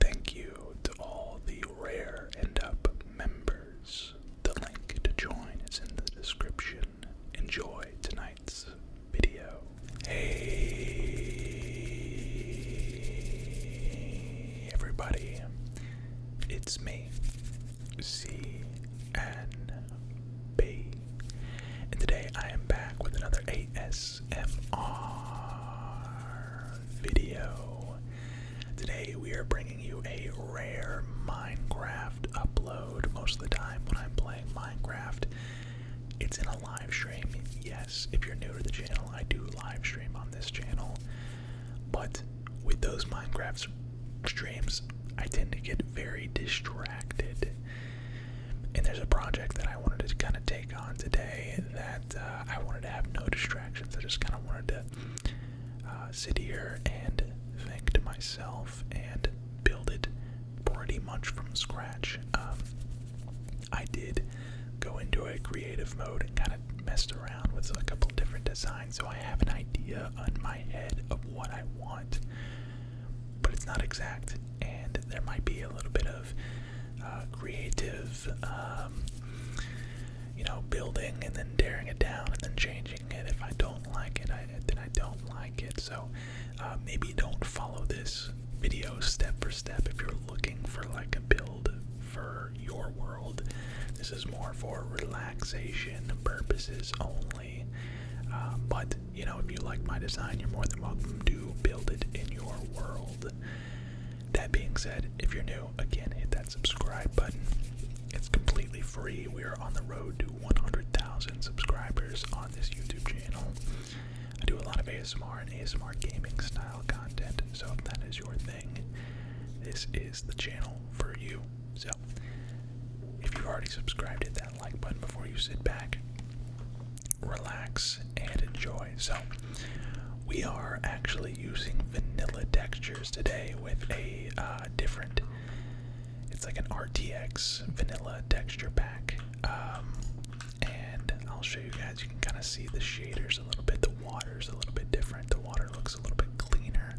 Thank you to all the Rare end Up members. The link to join is in the description. Enjoy tonight's video. Hey, everybody. It's me, C and B. And today I am back with another AS ASMR video. Today we are bringing you a rare Minecraft upload. Most of the time when I'm playing Minecraft, it's in a live stream. Yes, if you're new to the channel, I do live stream on this channel. But with those Minecraft streams, I tend to get very distracted. And there's a project that I wanted to kind of take on today that uh, I wanted to have no distractions. I just kind of wanted to uh, sit here and think to myself and build it pretty much from scratch. Um, I did go into a creative mode and kind of messed around with a couple different designs, so I have an idea on my head of what I want, but it's not exact, and there might be a little bit of uh, creative, um, you know, building and then tearing it down and then changing it. If I don't like it, then I don't like it. So uh, maybe don't follow this video step for step if you're looking for like a build for your world. This is more for relaxation purposes only. Um, but you know, if you like my design, you're more than welcome to build it in your world. That being said, if you're new, again, hit that subscribe button. It's completely free. We are on the road to 100,000 subscribers on this YouTube channel. I do a lot of ASMR and ASMR gaming style content, so if that is your thing, this is the channel for you. So, if you've already subscribed, hit that like button before you sit back relax, and enjoy. So, we are actually using vanilla textures today with a uh, different. It's like an RTX vanilla texture pack, um, and I'll show you guys. You can kind of see the shaders a little bit. The water's a little bit different. The water looks a little bit cleaner.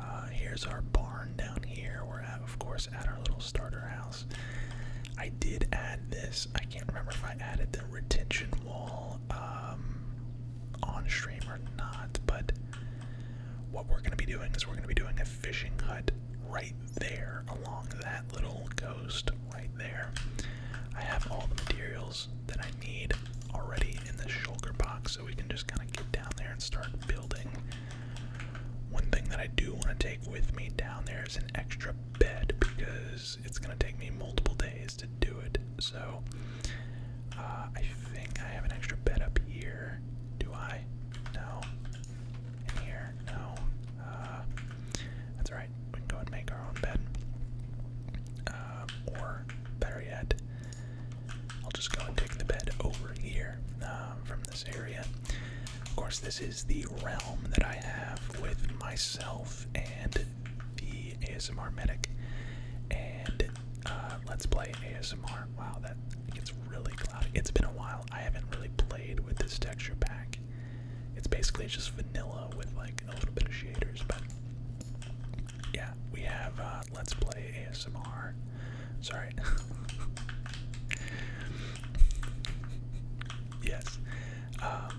Uh, here's our barn down here. We're at, of course, at our little starter house. I did add this. I can't remember if I added the retention wall um, on stream or not, but what we're going to be doing is we're going to be doing a fishing hut right there along that little coast right there. I have all the materials that I need already in this shulker box, so we can just kind of get down there and start building. One thing that I do want to take with me down there is an extra bed because it's gonna take me multiple days to do it. So uh, I think I have an extra bed up here. Do I? No. In here? No. Uh, that's alright. We can go and make our own bed. Um, or better yet, I'll just go and take the bed over here um, from this area. Of course, this is the realm that I have with myself and the ASMR medic, and uh, let's play ASMR. Wow, that gets really cloudy. It's been a while. I haven't really played with this texture pack. It's basically just vanilla with like a little bit of shaders, but yeah, we have uh, let's play ASMR. Sorry. yes. Um,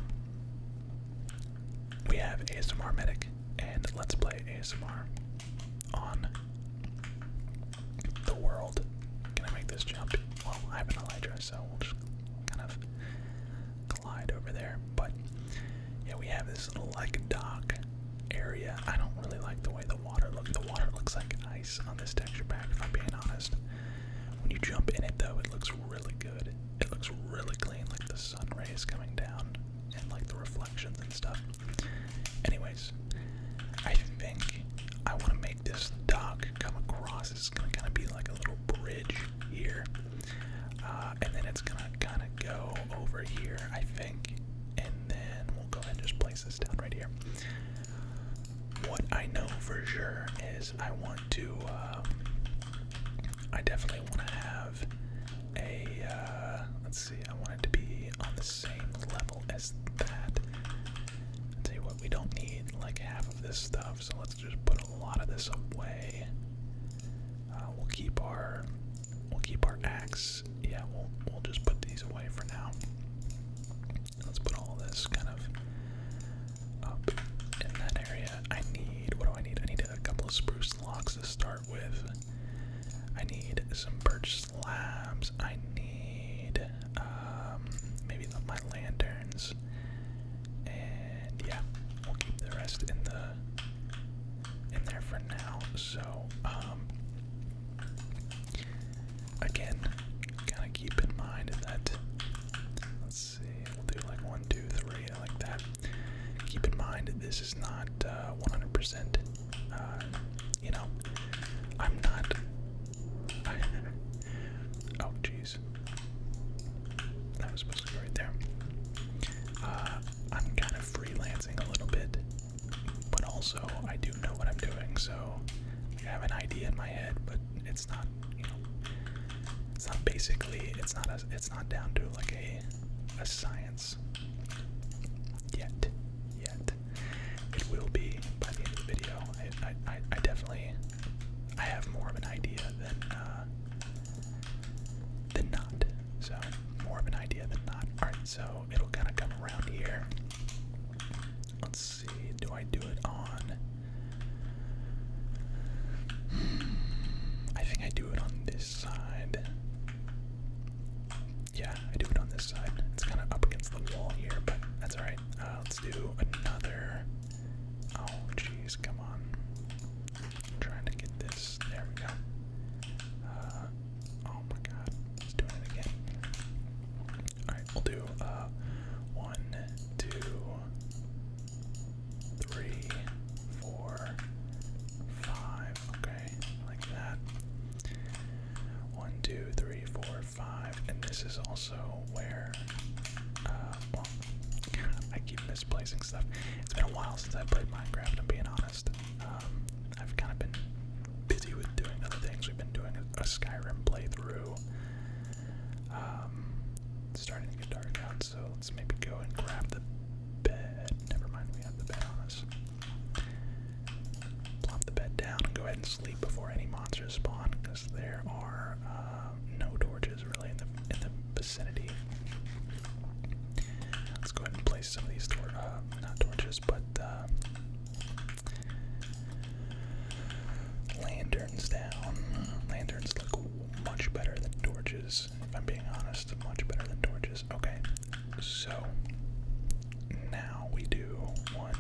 we have ASMR Medic and Let's Play ASMR on the world. Can I make this jump? Well, I have an Elytra, so we'll just kind of glide over there. But yeah, we have this little like dock area. I don't really like the way the water looks. The water looks like ice on this texture pack, if I'm being honest. When you jump in it though, it looks really good it looks really clean, like the sun rays coming down and like the reflections and stuff. Anyways, I think I want to make this dock come across. It's gonna kind of be like a little bridge here, uh, and then it's gonna kind of go over here, I think, and then we'll go ahead and just place this down right here. What I know for sure is. I want to, um, I definitely want to have a, uh, let's see, I want it to be on the same level as that. i what, we don't need like half of this stuff, so let's just put a lot of this away. Uh, we'll keep our, we'll keep our axe. Yeah, we'll, we'll just put these away for now. Let's put all this kind of up in that area. I need, what do I need? I need a couple of spruce logs to start with. I need some birch slabs. I need um, maybe the, my lanterns. And yeah, we'll keep the rest in the in there for now. So um, again, kind of keep in mind that we'll do like one, two, three, like that. Keep in mind, this is not 100%. Uh, uh, you know, I'm not. oh, jeez. That was supposed to go right there. Uh, I'm kind of freelancing a little bit, but also I do know what I'm doing, so I have an idea in my head, but it's not it's not basically it's not it's not down to like a a science yet yet it will be by the end of the video I I, definitely I have more of an idea than uh, than not so more of an idea than not all right so it'll kind of come around here let's see do I do it on I think I do it on this side. Yeah, I do it on this side. It's kind of up against the wall here, but that's alright. Uh, let's do another. Oh, jeez, come on. trying to get this. There we go. Uh, oh my god, it's doing it again. Alright, we'll do uh, one, two, three, four, five. Okay, like that. One, two, three, four, five. And this is also where, uh, well, I keep misplacing stuff. It's been a while since I played Minecraft, I'm being honest. Um, I've kind of been busy with doing other things. We've been doing a, Skyrim playthrough. Um, starting to get dark out, so let's maybe go and grab the bed. Never mind, we have the bed on us. Plop the bed down and go ahead and sleep before any monsters spawn, because there are uh, no torches really in the in the vicinity. Let's go ahead and place some of these uh, not torches, but uh, lanterns down. lanterns look much better than torches, if I'm being honest, much better than torches. Okay, so now we do one,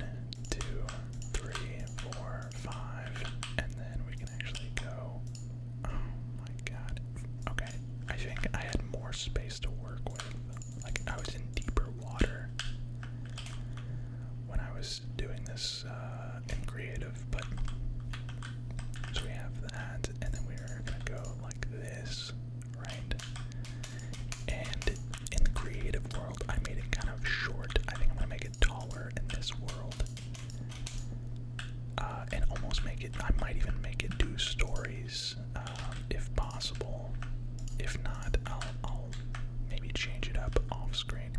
two, three, four, five, and then we can actually go. Oh my god. Okay, I think I had more space to work with. Like, I was in deeper water when I was doing this uh, in creative, but so we have that, and then we're gonna go like this, right? And in the creative world, I made it kind of short. I think I'm gonna make it taller in this world, uh, and almost make it. I might even make it two stories, um, if possible. If not, I'll maybe change it up off screen.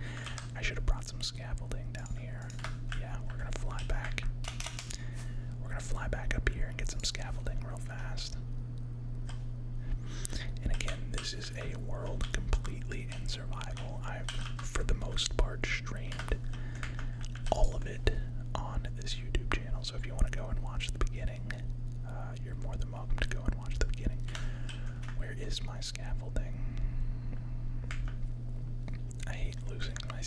I should have brought some scaffolding down here. Yeah, we're gonna fly back. We're gonna fly back up here and get some scaffolding real fast. And again, this is a world completely in survival. I've, for the most part, streamed all of it on this YouTube channel. So if you want to go and watch the beginning, uh, you're more than welcome to go and watch the beginning. Where is my scaffolding? I hate losing my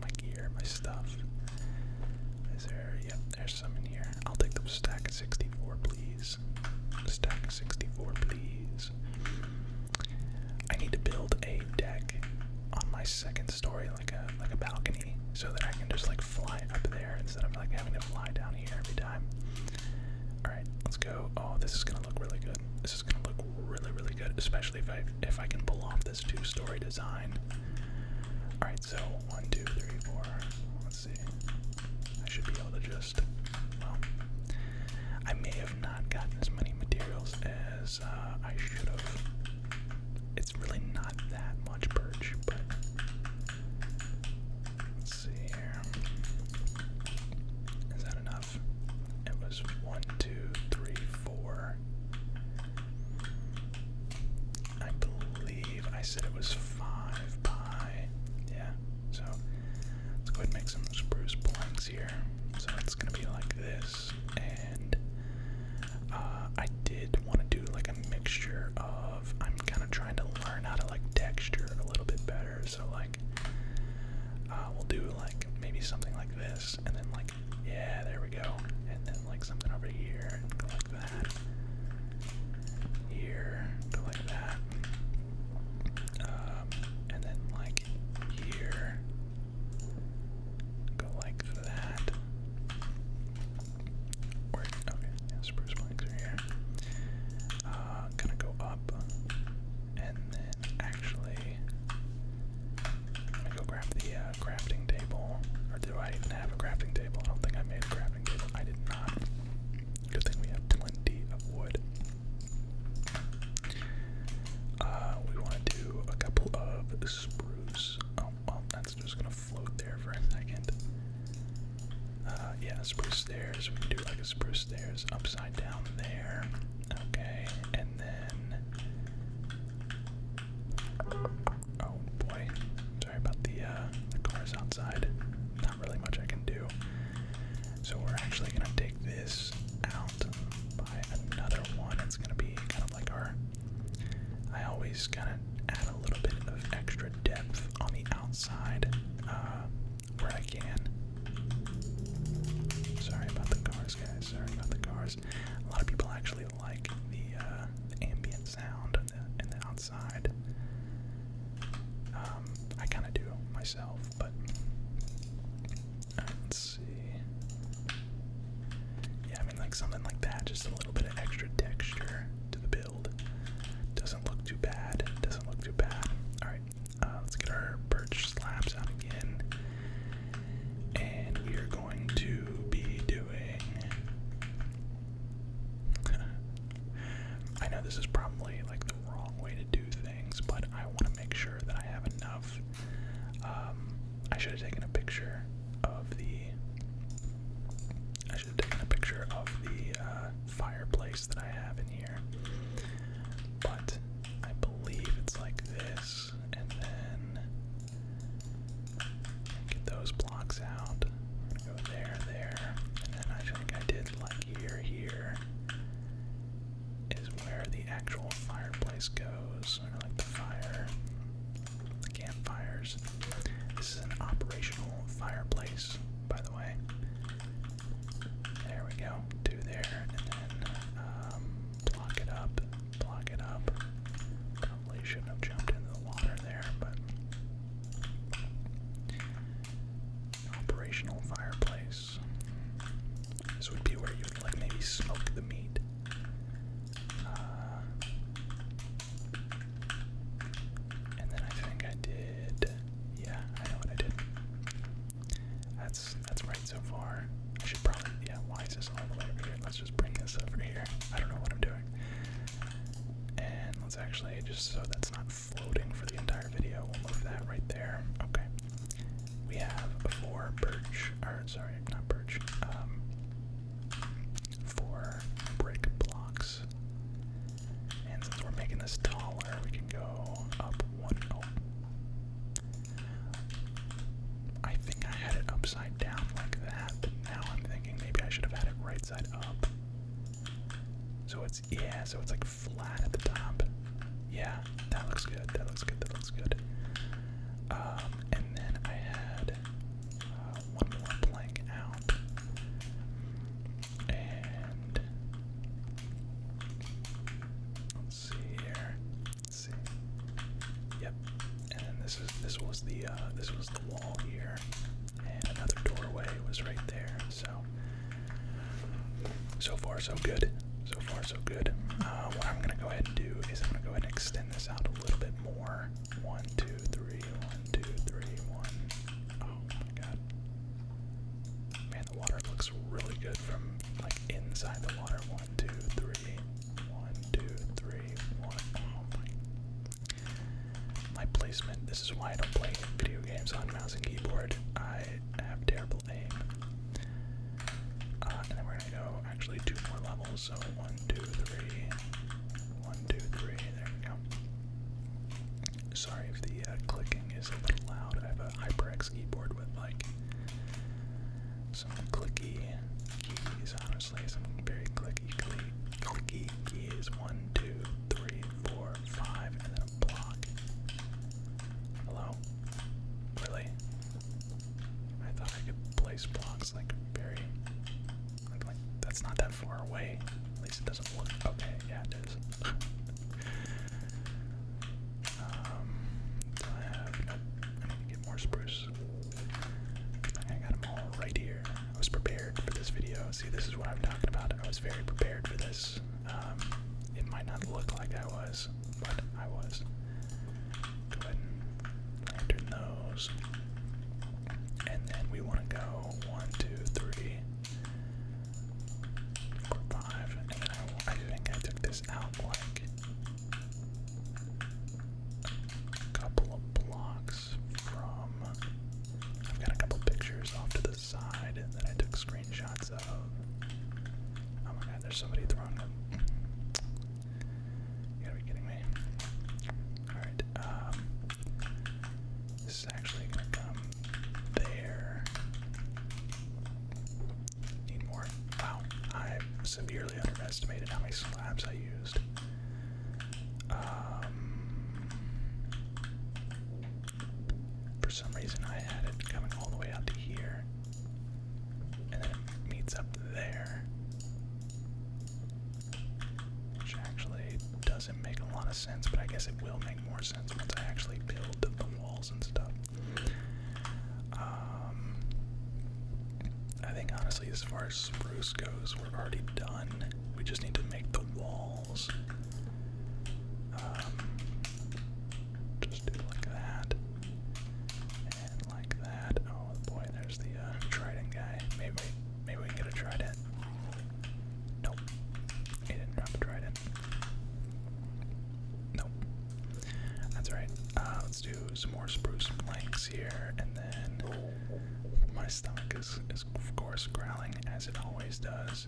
my gear, my stuff. Is there? Yep, there's some in here. I'll take the stack of 64, please. Stack 64, please. I need to build a deck on my second story, like a like a balcony, so that I can just like fly up there instead of like having to fly down here every time. All right, let's go. Oh, this is gonna look really good this gonna look really, really good, especially if I if I can pull off this two-story design. All right, so one, two, three, four. Let's see. I should be able to just. Well, I may have not gotten as many materials as uh, I should have. It's really not that much birch, but let's see here. Is that enough? It was one, two, three, four. I believe I said it was five pi. Yeah. So let's go ahead and make some spruce blanks here. So it's gonna be like this, and uh, I did want to do like a mixture of. I'm kind of trying to learn how to like texture a little bit better. So like. Uh, we'll do like maybe something like this and then like yeah there we go and then like something over here go like that here go like that um, and then like here go like that or okay spruce planks are here gonna uh, go up and then actually, I'm go grab the uh, crafting table. Or do I even have a crafting table? I don't think I made a crafting table. I did not. Good thing we have plenty of wood. Uh, we want to do a couple of spruce. Oh, that's just gonna float there for a second. Uh, yeah, spruce stairs. We can do like a spruce stairs upside down there. Okay, and then. Oh boy. Sorry about the, uh, the cars outside. Not really much I can do. So we're actually gonna take this out by another one. It's gonna be kind of like our. I always kind of add a little bit of extra depth on the outside uh, where I can. Sorry about the cars, guys. Sorry about the cars. A lot of people actually like the, uh, ambient sound and the, outside. Um, I kind of do myself, but let's see. Yeah, I mean, like something like that, just a little bit of extra texture to the build. Doesn't look too bad. Doesn't look too bad. All right, uh, let's get our birch slabs out again. And we are going to be doing. I know this is probably like the wrong way to do things, but I want to make sure that I have enough. Um, I should have taken a picture of the. I should have taken a picture of the uh, fireplace that I have in here. But I believe it's like this, and then get those blocks out. Go there, there, and then I think I did like here, here is where the actual fireplace goes, or like the fire, the campfires. This is an operational fireplace, by the way. There we go. Two there, and then um, block it up, block it up. Probably shouldn't have jumped into the water there, but operational fireplace. This would be where you would like maybe smoke the meat. Uh, and then I think I did. Yeah, I know what I did. That's that's right so far. I should probably yeah, why is this all the way over here? Let's just bring this over here. I don't know what I'm doing. And let's actually just so that's not floating for the entire video, we'll move that right there. Okay. We have four birch or sorry, not birch. Um four brick blocks. And since we're making this taller, we can go up one. I think I had it upside down like that, but now I'm thinking maybe I should have had it right side up. So it's, yeah, so it's like flat at the top. Yeah, that looks good, that looks good, that looks good. Um, and then I had uh, one more plank out. And let's see here. Let's see. Yep. And then this is this was the uh, this was the wall here, and another doorway was right there. So so far so good. So far so good. Uh, what I'm gonna go ahead and do is I'm gonna go ahead and extend this out a little bit more. One, two, three, one, two, three, one. Oh my god. Man, the water looks really good from like inside the water. One, two, three. One, two, three, one. Oh my. My placement. This is why I don't play video games on mouse and keyboard. I have terrible aim. Uh, and then we're gonna go actually two more levels. So one, two, three. One, two, three. There we go. Sorry if the uh, clicking is a little loud. I have a HyperX keyboard with like some clicky keys, honestly. Some very clicky, clicky keys. One, two, three, four, five, and then a block. Hello? Really? I thought I could place blocks like very. like, that's not that far away. At least it doesn't. Okay, yeah, it um, I have? Nope. I get more spruce. I got them all right here. I was prepared for this video. See, this is what I'm talking about. I was very prepared for this. Um, it might not look like I was, but I was. Go ahead and lantern those. And then we want to go one, two, three. Five, and then I, think I took this out like a couple of blocks from. I've got a couple pictures off to the side and then I took screenshots of. Oh my god, there's somebody throwing them. You gotta be kidding me. Alright, um, this is actually there. Need more. Wow, I severely underestimated how many slabs I used. Um, for some reason, I had it coming all the way out to here, and then it meets up there, which actually doesn't make a lot of sense, but I guess it will make more sense once I actually build the walls and stuff. Um, I think honestly, as far as spruce goes, we're already done. We just need to make the walls. Um, just do like that. And like that. Oh boy, there's the uh, trident guy. Maybe, maybe we can get a trident. Nope. He didn't drop a trident. Nope. That's alright. Uh, let's do some more spruce planks here, and then my stomach is, is of course, growling as it always does.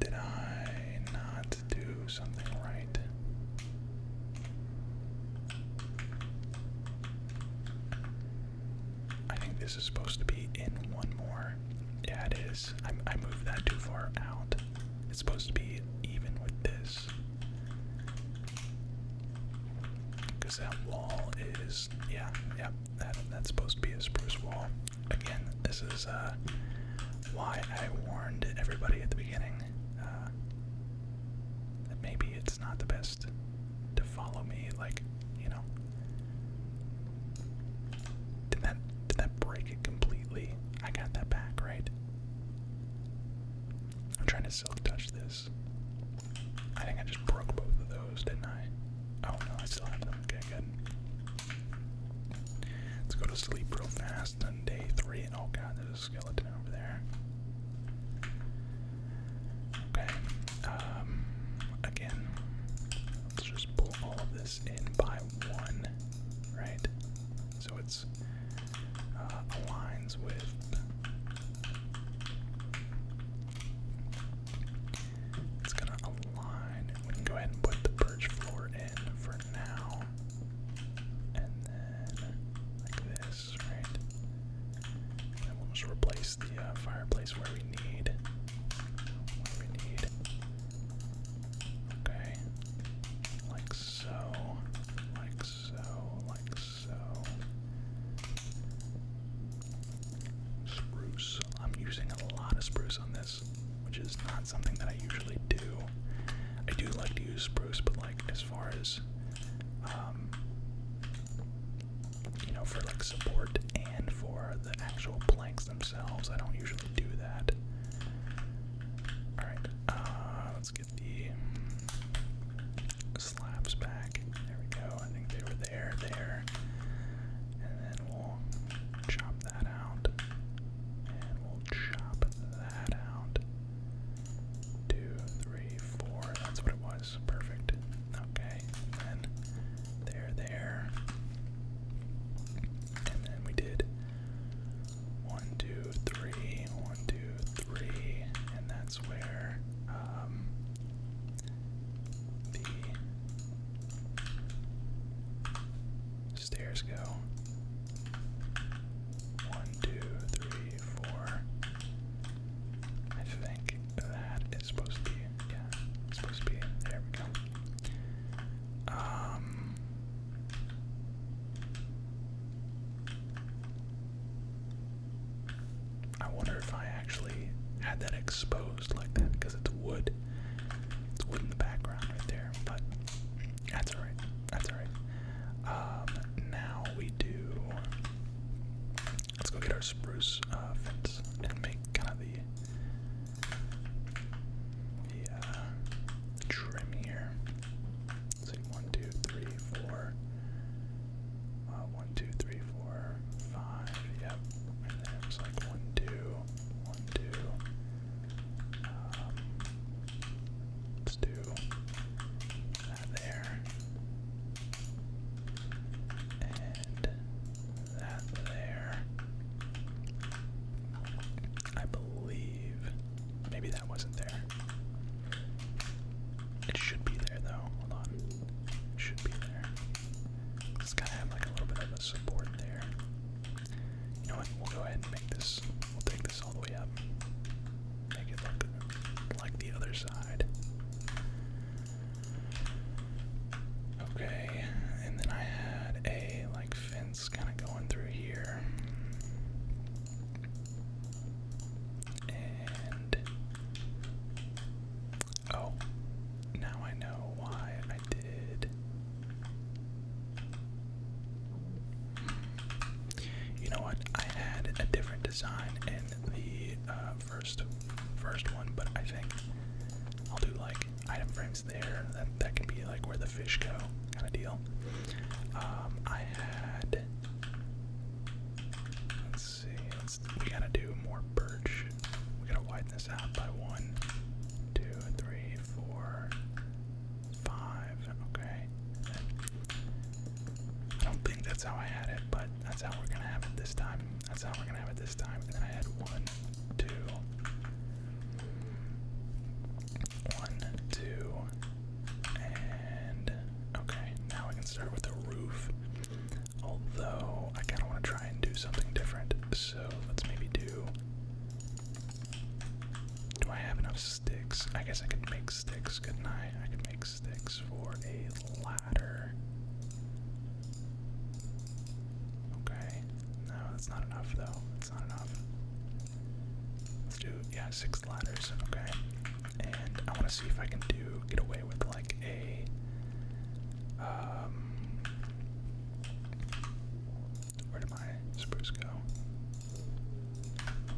Did I not do something right? I think this is supposed to be in one more. Yeah, it is. I, moved that too far out. It's supposed to be even with this. Because that wall is, yeah, yeah, that, that's supposed to be a spruce wall. Again, this is uh, why I warned everybody at the beginning uh, that maybe it's it's not the best to follow me, like, you know. Did that did that break it completely? I got that back, right? I'm trying to silk touch this. I think I just broke both of those, didn't I? Oh no, I still have them. Okay, good. Let's go to sleep real fast on day three. Oh god, there's a skeleton over there. Okay. Um, again, let's just pull all this in by one, right? So it's uh, aligns with it's gonna align. We can go ahead and put the perch floor in for now. And then this, right? And we'll just replace the uh, fireplace where we need. Okay. Like so. Like so. Like so. Spruce. I'm using a lot of spruce on this, which is not something that I usually do. I do like to use spruce, but like as far as um, you know, for like support and for the actual planks themselves. I don't usually do that. Alright, uh, let's get the mm, slabs back. There we go. I think they were there, there. And then we'll chop that out. And we'll chop that out. Two, three, four. That's what it was. Perfect. Okay. then there, there. And then we did one, two, three, one, two, three. And that's where um, the stairs go. One, two, three, four. I think that it's supposed to be. Yeah, supposed to be. There we go. Um. I wonder if I actually had that exposed like that because it's wood. It's wood in the background right there, but that's alright. That's alright. Um, now we do. Let's go get our spruce uh, fence and make kind of the, the uh, trim here. let one, two, three, four. Uh, one, two, three, four, five. Yep. And then it's like one, two, one, two. Um, let's do that there that there. I believe. Maybe that wasn't there. It should be there though. Hold on. It should be there. It's gotta have like a little bit of a support there. You know what? We'll go ahead and make this. We'll take this all the way up. Make it look like the other side. Okay, and then I had a like fence kind of going through here. And oh, now I know why I did. You know what? I had a different design in the uh, first first one, but I think I'll do like item frames there. That that can be like where the fish go kind of deal. Um, I had let's see, we gotta do more birch. We gotta widen this out by one, two, three, four, five. Okay. I don't think that's how I had it, but that's how we're gonna have it this time. That's how we're gonna have it this time. And then I had one, two, one, two, and okay. Now I can start with the roof. Although I kind of want to try and do something different, so let's maybe do. Do I have enough sticks? I guess I could make sticks, couldn't I? I could make sticks for a ladder. Okay. No, that's not enough though. That's not enough. Let's do yeah, six ladders. Okay. And I want to see if I can do get away with like a um, where did my spruce go?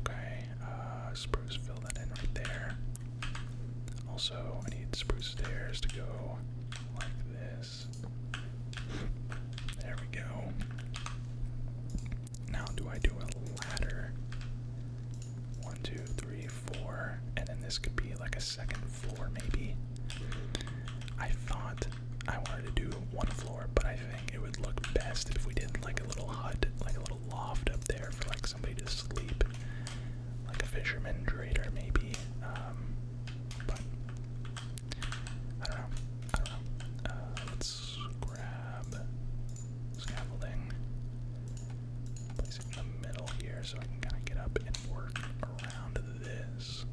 Okay, uh, spruce, fill that in right there. Also, I need spruce stairs to go like this. There we go. Now, do I do a ladder? One, two, three, four. And then this could be like a second floor, maybe. I thought I wanted to do one floor, but I think it would look best if we did like a little hut, like a little loft up there for like somebody to sleep, like a fisherman trader maybe. Um, but I don't know. I don't know. Uh, let's grab scaffolding. Place it in the middle here so I can kind of get up and work around this.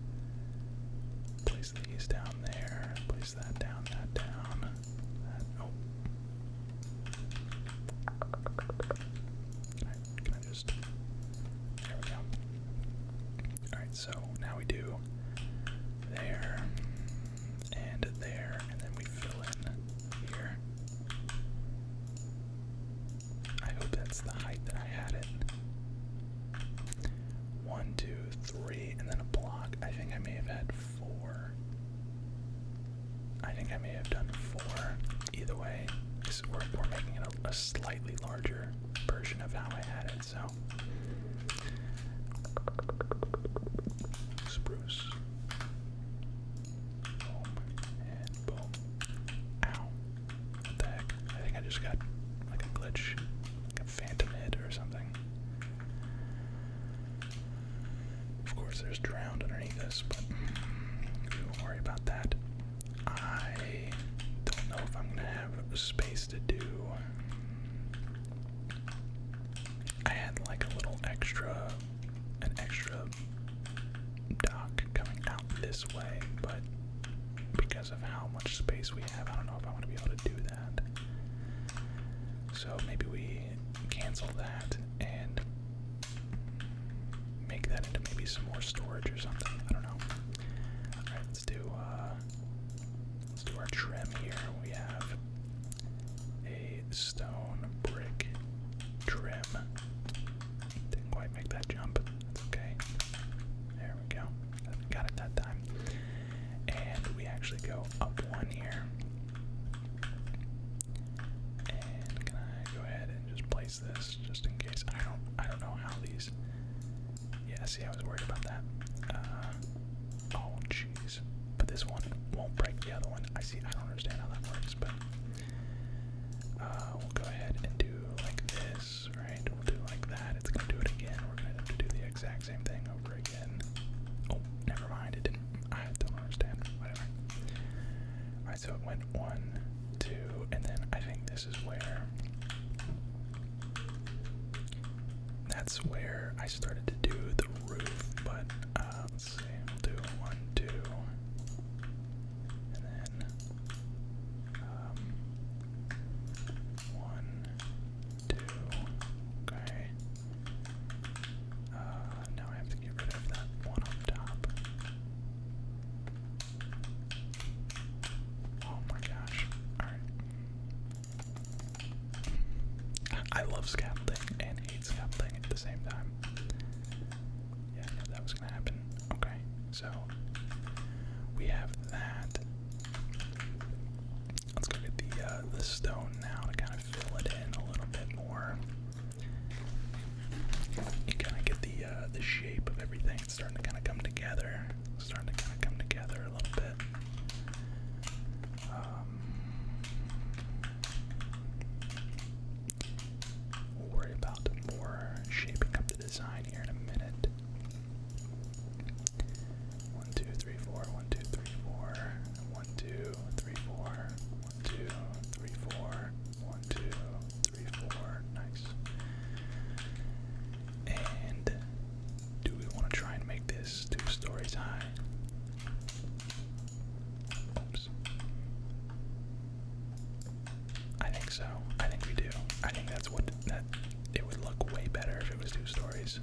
Place these down there. Place that down, that down. oh. I can I just there we go. Alright, so now we do there and there, and then we fill in here. I hope that's the height that I had it. One, two, three, and then a block. I think I may have had four. I think I may have done four. Either way, this is worth making a, a slightly larger version of how I had it, so. Spruce. Boom. And boom. Ow. What the heck? I think I just got like a glitch, like a phantom hit or something. Of course, there's drowned underneath us, but do not worry about that. I don't know if I'm gonna have space to do. I had like a little extra, an extra dock coming out this way, but because of how much space we have, I don't know if I am going to be able to do that. So maybe we cancel that and make that into maybe some more storage or something. I don't know. Alright, let's do uh let's do our trim here. We have a stone brick trim. Didn't quite make that jump. That's okay. There we go. Got it that time. And we actually go up one here. And can I go ahead and just place this just in case? I don't I don't know how these Yeah, see I was worried about that. Uh, oh jeez. But this one won't break the other one. I see I don't understand how that works, but uh, we'll go ahead and do like this, right? We'll do like that. It's gonna do it again. We're gonna have to do the exact same thing over again. Oh, never mind, it didn't I don't understand. Whatever. Alright, so it went one, two, and then I think this is where. That's where I started to do the roof, but uh, let's see, we'll do one, two, and then um, one, two, okay, uh, now I have to get rid of that one on top. Oh my gosh. Alright. I love scaffolding and hate scaffolding at the same time. Yeah, I knew that was gonna happen. Okay, so we have that. Let's go get the uh, the stone now to kind of fill it in a little bit more. You kind of get the uh, the shape of everything. It's starting to kind of come together. It's starting to kind of come together a little bit. Um, we'll worry about more shaping up the design here in a minute. One, two, three, four. One, two, three, four. One, two, three, four. One, two, three, four. One, two, three, four. Nice. And do we want to try and make this two stories high? Oops. I think so. I think we do. I think that's what that it would look way better if it was two stories.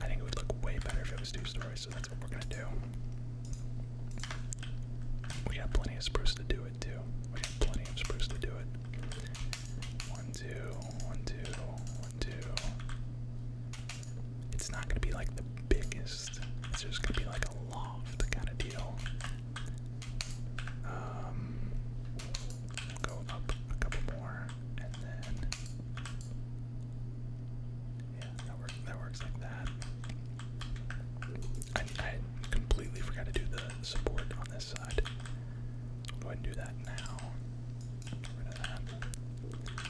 I think it would look way better if it was two stories so that's what we're gonna do. We got plenty of spruce to do it too. We got plenty of spruce to do it. One, two, one, two, one, two. It's not gonna be like the biggest. It's just gonna be like a loft kind of deal. Um, go up a couple more, and then yeah, that works. That works like that. I, completely forgot to do the support on this side. I'll go ahead and do that now. Get rid of that.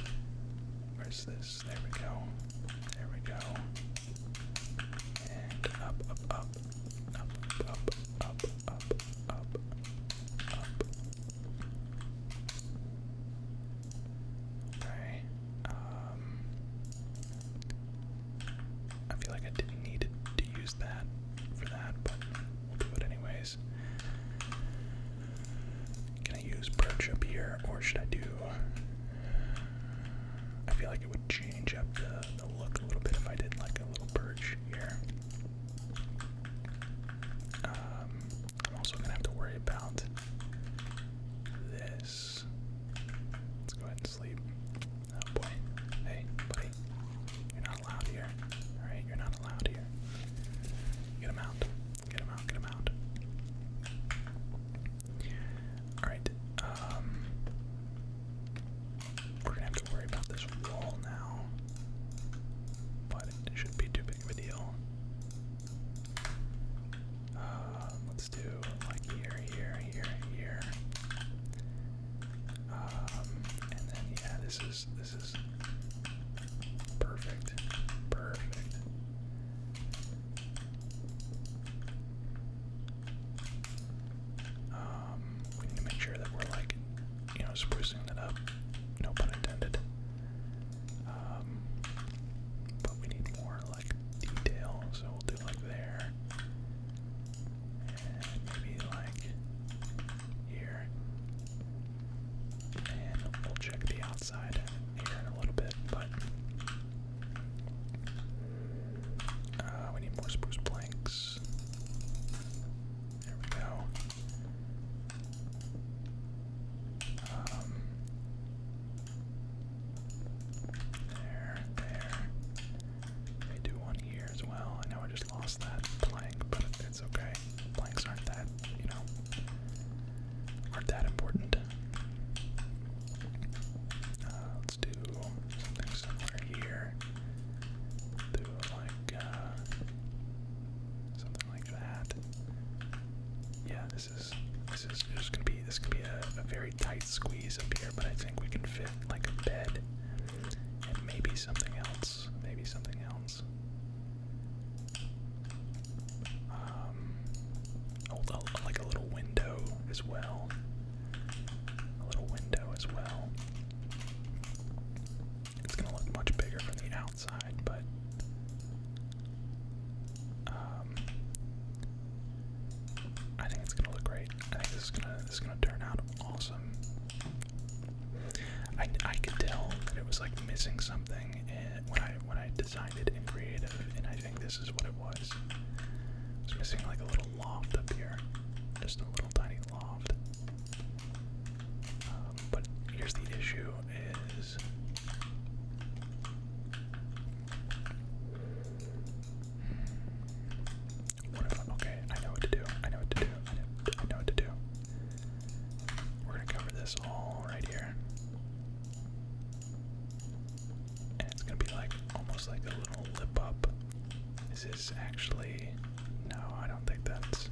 Where's this? There we go. There we go. And up, up, up, up, up, up, up, up, up. Okay. Um, I feel like I didn't need to use that for that, but we'll do it anyways. Can I use perch up here, or should I do? I feel like it would change up the, look a little bit if I did like a little perch here. Um, I'm also gonna have to worry about this. Let's go ahead and sleep. Oh boy. Hey, buddy. You're not allowed here. Alright, you're not allowed here. Get out. Get out. Get out. Alright, um. We're gonna have to worry about this wall now. But it should be too big of a deal. Uh, do like here, here, here, here. Um, and then yeah, this is this is perfect, perfect. Um, we need to make sure that we're like, you know, sprucing that up. No pun intended. Um, but we need more like detail, so we'll do like there. And maybe like here. And we'll check the outside here in a little bit, but uh, we need more spruce planks. There we go. Um, there, there. They do one here as well. I know I just lost that plank, but it's okay. Planks aren't that, you know, aren't that important. Uh, let's do something similar here. Do like uh, something like that. Yeah, this this is this is just gonna be this could be a, very tight squeeze up here, but I think we can fit like a bed and maybe something else. Maybe something else. Um, like a little window as well. A little window as well. It's gonna look much bigger from the outside, but um, I think it's gonna look great. I think this is gonna this is gonna turn out awesome. I, I could tell that it was like missing something when I when I designed it in creative, and I think this is what it was. It's missing like a little loft up here, just a little tiny loft. Um, but here's the issue: is okay, I know what to do. I know what to do. I know what to do. We're gonna cover this all right here. And it's gonna be like almost like a little lip up. Is this actually no, I don't think that's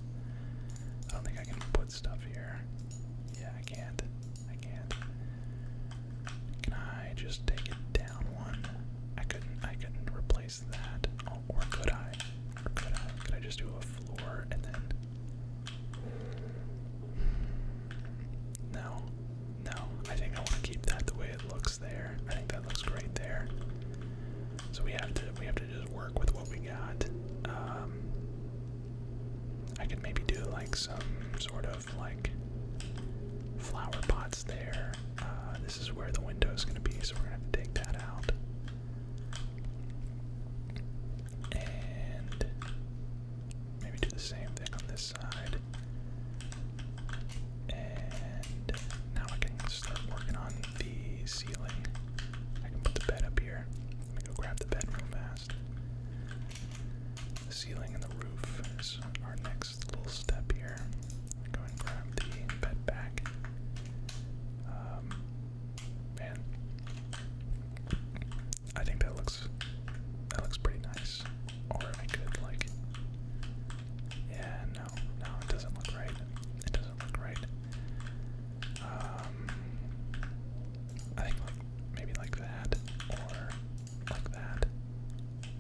I don't think I can put stuff here. Yeah, I can't. I can't. Can I just take it down one? I couldn't. I couldn't replace that. Oh, or could I? Or could I? Could I just do a floor and then? No, no. I think I want to keep that the way it looks there. I think that looks great there. So we have to. We have to just work with what we got. Um, I could maybe do like some sort of like flower pots there. Uh, this is where the window is going to be, so we're going to have to take that out. And maybe do the same thing on this side. And now I can start working on the ceiling. I can put the bed up here. Let me go grab the bed real fast. The ceiling and the roof is our next little step here. Go and grab the bed back. Um, man, I think that looks that looks pretty nice. Or I could like, yeah, no, no, it doesn't look right. It doesn't look right. Um, I think like maybe like that or like that.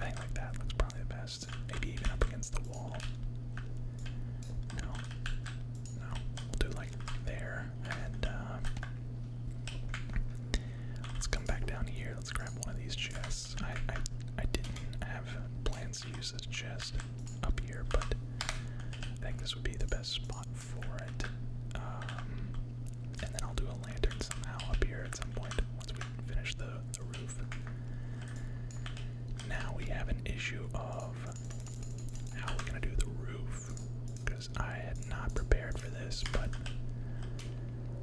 I think like that looks probably the best. Maybe even up against the wall. No. No. We'll do like there and uh, let's come back down here. Let's grab one of these chests. I I I didn't have plans to use this chest up here, but I think this would be the best spot for it. Um, and then I'll do a lantern somehow up here at some point once we finish the, the roof. Now we have an issue of how we're going to do the roof because I had not prepared for this, but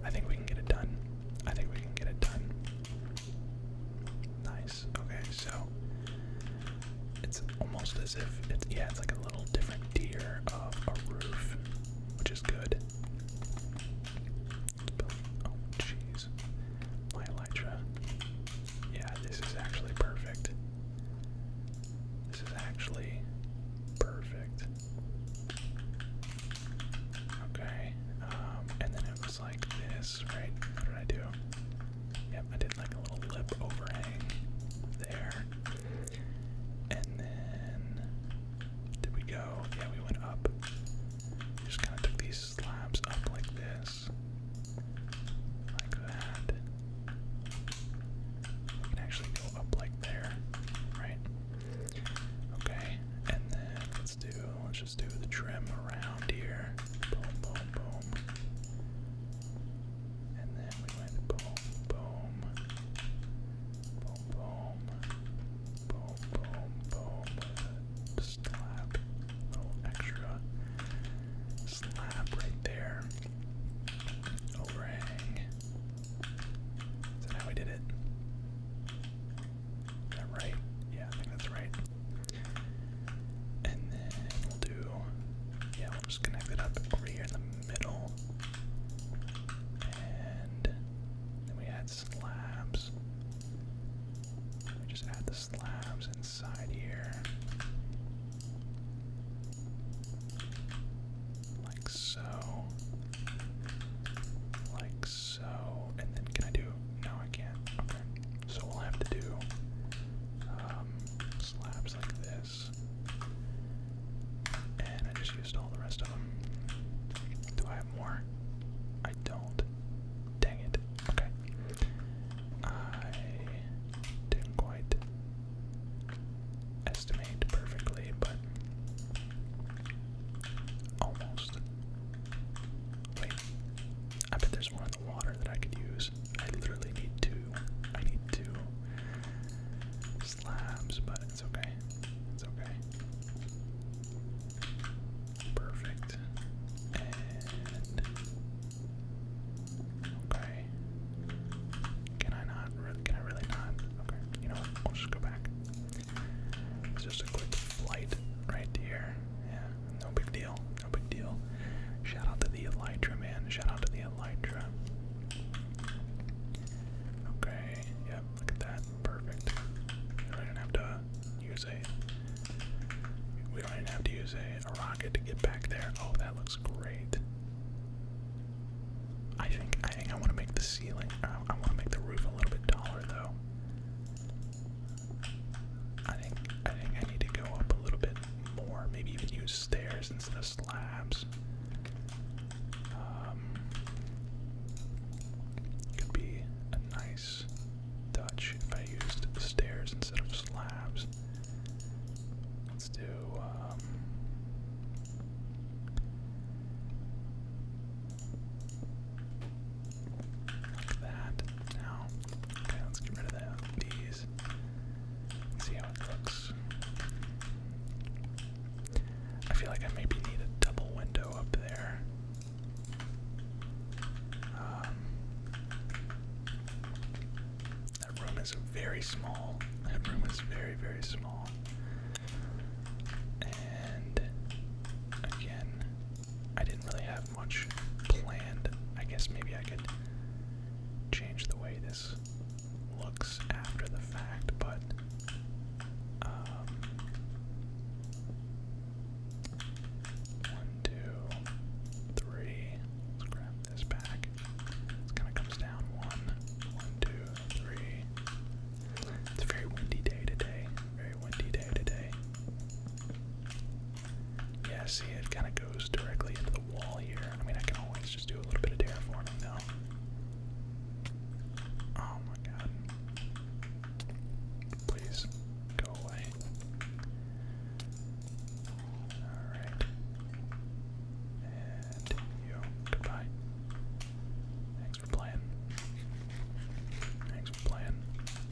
I think we can get it done. I think we can get it done. Nice. Okay, so it's almost as if it's yeah, it's like a little different tier of a roof, which is good. Oh jeez. My elytra. Yeah, this is actually perfect. This is actually perfect. Okay. Um, and then it was like this, right? What did I do? Yep, I did like a little lip overhang there. And then did we go? Yeah, we went up. just kind of took these slabs up like this, like that. We can actually go up like there, right? Okay, and then let's do. Let's just do the trim around here. Boom, boom, boom. And then we went boom, boom, boom, boom, boom, boom, boom, with a slap, little extra slap right there, overhang. Is that how we did it? Is that right? Yeah, I think that's right. And then we'll do, yeah, just going it up over here in the middle. And then we add slabs. just add the slabs inside here. Like so. Like so. And then can I do no I can't. Okay. So we'll have to do um, slabs like this. And I just used all the rest of them. Do I have more? I don't. Dang it. Okay. I didn't quite estimate perfectly, but almost. Wait. I bet there's one in the water that I could use. I literally need two. I need two slabs, but it's okay. It's okay. Perfect. okay. Can I not? can I really not? Okay. You know what? I'll just go back. It's just a quick flight right here. Yeah. No big deal. No big deal. Shout out to the Elytra man. Shout out to the elytra. Okay, yep, look at that. Perfect. I don't have to use a we don't even have to use a, rocket to get back there. Oh, that looks great. I think I think I want to make the ceiling. I want to make the roof a little bit taller, though. I think I think I need to go up a little bit more. Maybe even use stairs instead of slabs. Um, could be a nice touch if I used stairs instead of slabs. Let's do. Um, that. Now, okay, let's get rid of that. These. See how it looks. I feel like I maybe need a double window up there. Um, that room is very small. That room is very, very small. And again, I didn't really have much planned. I guess maybe I could change the way this looks after the fact, but um, one, two, three. Let's grab this back. It kind of comes down one, one, two, three. It's a very windy day today. Very windy day today. Yeah, see, it kind of goes directly into the wall here. I mean, I can always just do a little bit of terraforming now. Oh my god. Please go away. Alright. And you. Goodbye. Thanks for playing. Thanks for playing.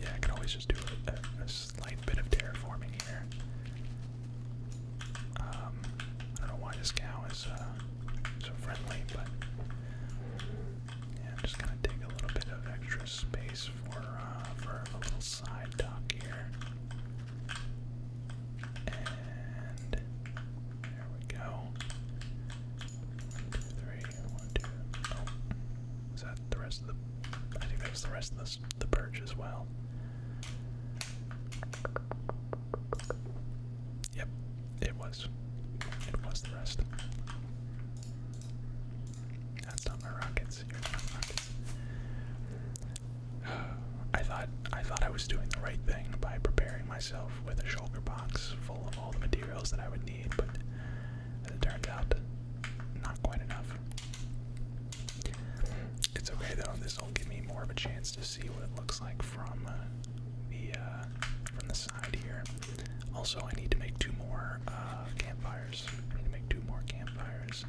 Yeah, I can always just do a slight bit of terraforming here. Um, I don't know why this cow is uh, so friendly, but yeah, just gonna dig a little bit of extra space for uh, for a little side dock here, and there we go. One, two, three, one, two. Oh, is that the rest of the? I think that's the rest of the the perch as well. Yep, it was. It was the rest. That's not my rockets. Here's my rockets. I thought I thought I was doing the right thing by preparing myself with a shoulder box full of all the materials that I would need, but it turned out, not quite enough. It's okay though this will give me more of a chance to see what it looks like from uh, the uh, from the side here. Also, I need to make two more uh, campfires. I need to make two more campfires.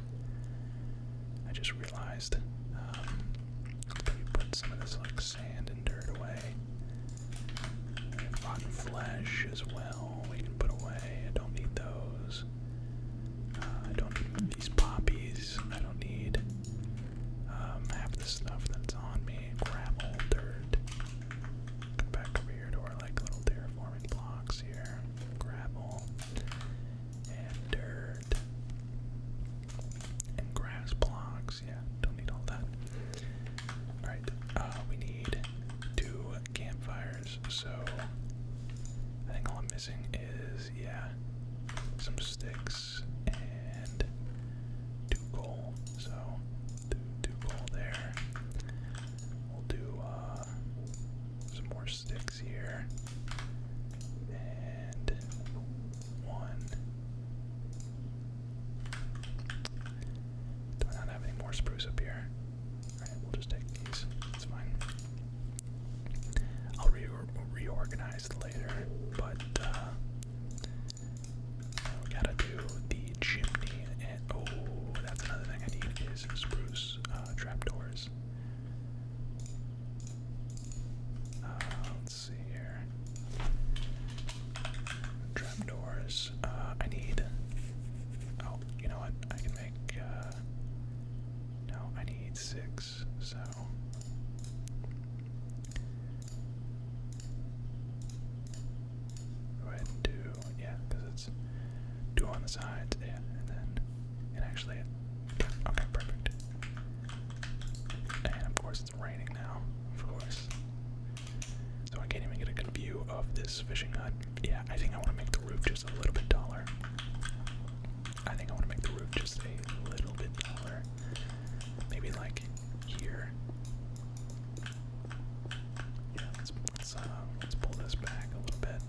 I just realized. Um, we put some of this like sand and dirt away. And rotten flesh as well. We can put away. I don't need those. Uh, I don't need these poppies. I don't need um, half the stuff that's on me. Gravel, dirt. Come back over here to our like little terraforming blocks here. Gravel and dirt and grass blocks. Yeah, don't need all that. All right, uh, we need two campfires. So I think all I'm missing is yeah. Some sticks and two coal. So two coal there. We'll do uh, some more sticks here. And one. Do I not have any more spruce up here? Alright, we'll just take these. That's fine. I'll re reorganize later, but uh, we gotta do the chimney. And oh, that's another thing I need is spruce uh, trapdoors. Uh, let's see here. Trapdoors. Uh, I need. Oh, you know what? I can make. no, I need six so go ahead and do yeah, because it's two on the sides, yeah, and then and actually okay, perfect. And of course it's raining now, of course. So I can't even get a good view of this fishing hut. Yeah, I think I want to make the roof just a little bit taller. I think I want to make the roof just a little bit taller. Maybe like here. Yeah, let's let's, uh, let's pull this back a little bit.